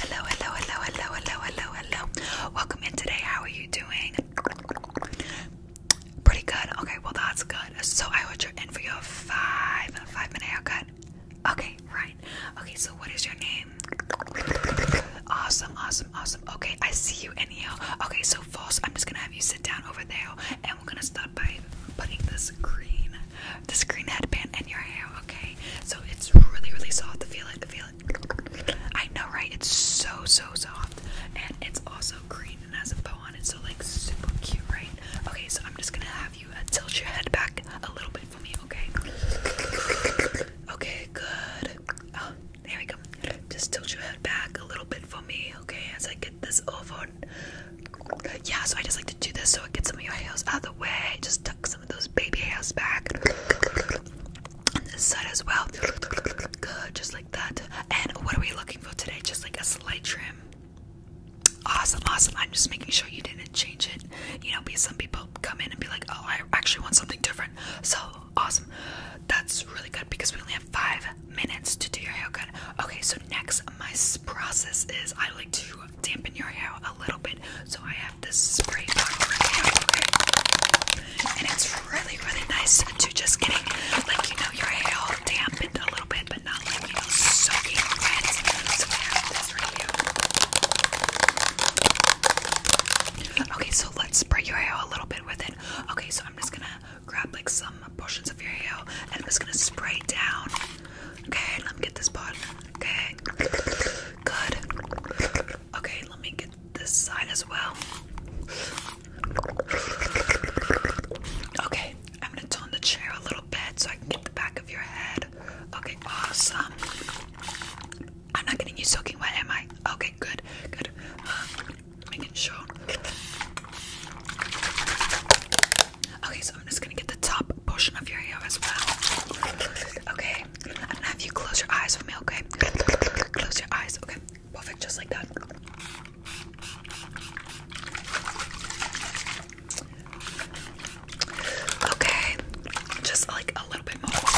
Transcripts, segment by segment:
Hello, hello, hello, hello, hello, hello, hello. Welcome in today. How are you doing? Pretty good. Okay, well that's good. So I want you in for your five five minute haircut. Okay, right. Okay, so what is your name? Awesome, awesome, awesome. Okay, I see you in here. Okay, so false. I'm just gonna have you sit down over there, and we're gonna start by putting this green this green headband and your hair, okay? So it's really, really soft. to Feel it, To feel it. I know, right? It's so, so soft. And it's also green and has a bow on it, so like super cute, right? Okay, so I'm just gonna have you uh, tilt your head back a little bit for me, okay? Okay, good. Oh, there we go. Just tilt your head back a little bit for me, okay? As I get this over. Yeah, so I just like to do this so it gets some of your hair out of the way. Just some of those baby hairs back. On this side as well. just like that. And what are we looking for today? Just like a slight trim. Awesome, awesome. I'm just making sure you didn't change it. You know, because some people come in and be like, oh, I actually want something different. So awesome. That's really good because we only have five minutes to do your haircut. Okay, so next, my process is I like to dampen your hair a little bit. So I have this spray bottle right okay? And it's really, really nice to just getting, like, you know, your hair dampened a little bit, but not like, you know, soaking wet. So I have this Okay, so let's spray your hair a little bit with it. Okay, so I'm just gonna grab like some portions of your hair and I'm just gonna spray down. Okay, let me get this part. Okay. Good. Okay, let me get this side as well. Okay, I'm gonna tone the chair a little bit so I can get the back of your head. Okay, awesome. I'm not getting you soaking wet, am I? Okay, good, good. Um, making sure. Okay, so I'm just gonna get the top portion of your hair as well. Okay, I'm gonna have you close your eyes for me, okay? Close your eyes, okay? Perfect, just like that. Okay, just like a little bit more.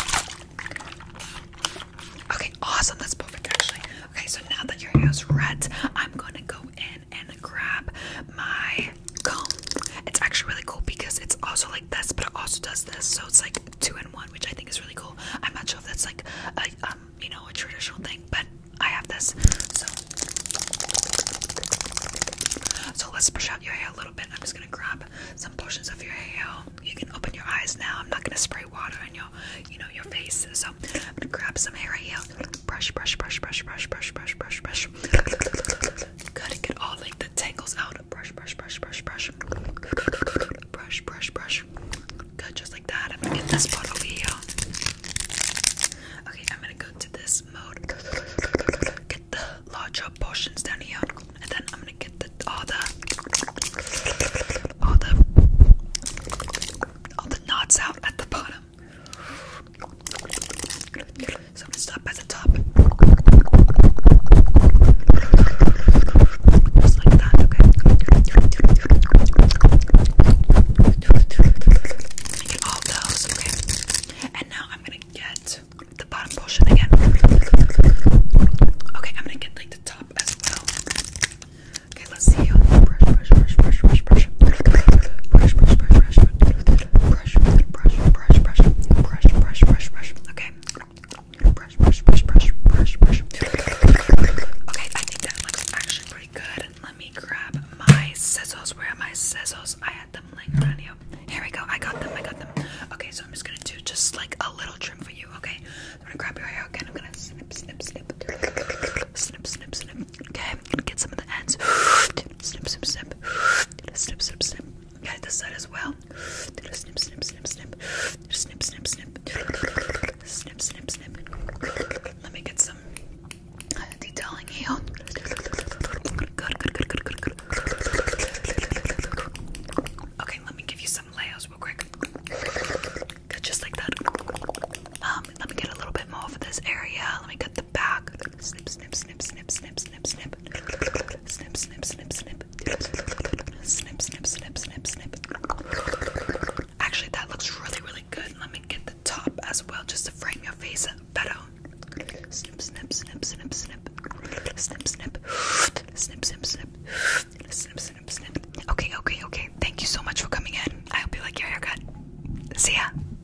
Okay, awesome, that's perfect actually. Okay, so now that your hair's red, I'm gonna go in and grab my comb. It's actually really cool because it's also like this, but it also does this. So it's like two in one, which I think is really cool. I'm not sure if that's like a um, you know, a traditional thing, but I have this. So so let's brush out your hair a little bit. I'm just gonna grab some portions of your hair. You can open your eyes now. I'm not gonna spray water on your, you know, your face. So I'm gonna grab some hair right here. Brush, brush, brush, brush, brush, brush, brush, brush, brush. Gotta get all the tangles out. Brush, brush, brush, brush, brush. Brush, brush, brush. Good, just like that. I'm gonna get this part over here. Okay, I'm gonna go to this mode. Get the larger portions down here, and then I'm gonna get all the all the all the knots out at the bottom. So I'm gonna stop at the top. Just like that, okay? I all those, okay? And now I'm gonna get the bottom portion again. Okay, I'm gonna get like the top as well. Okay, let's see. brush. Brush, brush, brush, brush, brush. Brush, brush, brush, brush, brush brush, brush, brush, brush, brush, brush, brush, brush. Okay. Brush, brush, brush, brush, brush, brush. Okay, I think that looks actually pretty good. Let me grab my scissors. Where are my scissors? I had them laying around here. Here we go. I got them. I got them. Okay, so I'm just gonna do just like a little trim for you. Okay, I'm gonna grab your hair again. I'm gonna snip, snip, snip, snip, snip, snip. Okay, I'm gonna get some of the ends snip, snip, snip, snip, snip, snip. Okay, this side as well. Snip, snip, snip, snip, snip, snip, snip, snip, snip, snip. Let me get some uh, detailing here. Good, good, good, good, good, good. Okay, let me give you some layers real quick. Good, just like that. Um, let me get a little bit more for this area. Let me cut the back. Snip, snip, snip snip, snip, snip, snip, snip, snip, snip, snip, snip, snip, snip, snip, snip, snip. Actually, that looks really, really good. Let me get the top as well, just to frame your face better. Snip, snip, snip, snip, snip, snip, snip, snip, snip, snip, snip, snip, snip. Okay, okay, okay. Thank you so much for coming in. I hope you like your haircut. See ya.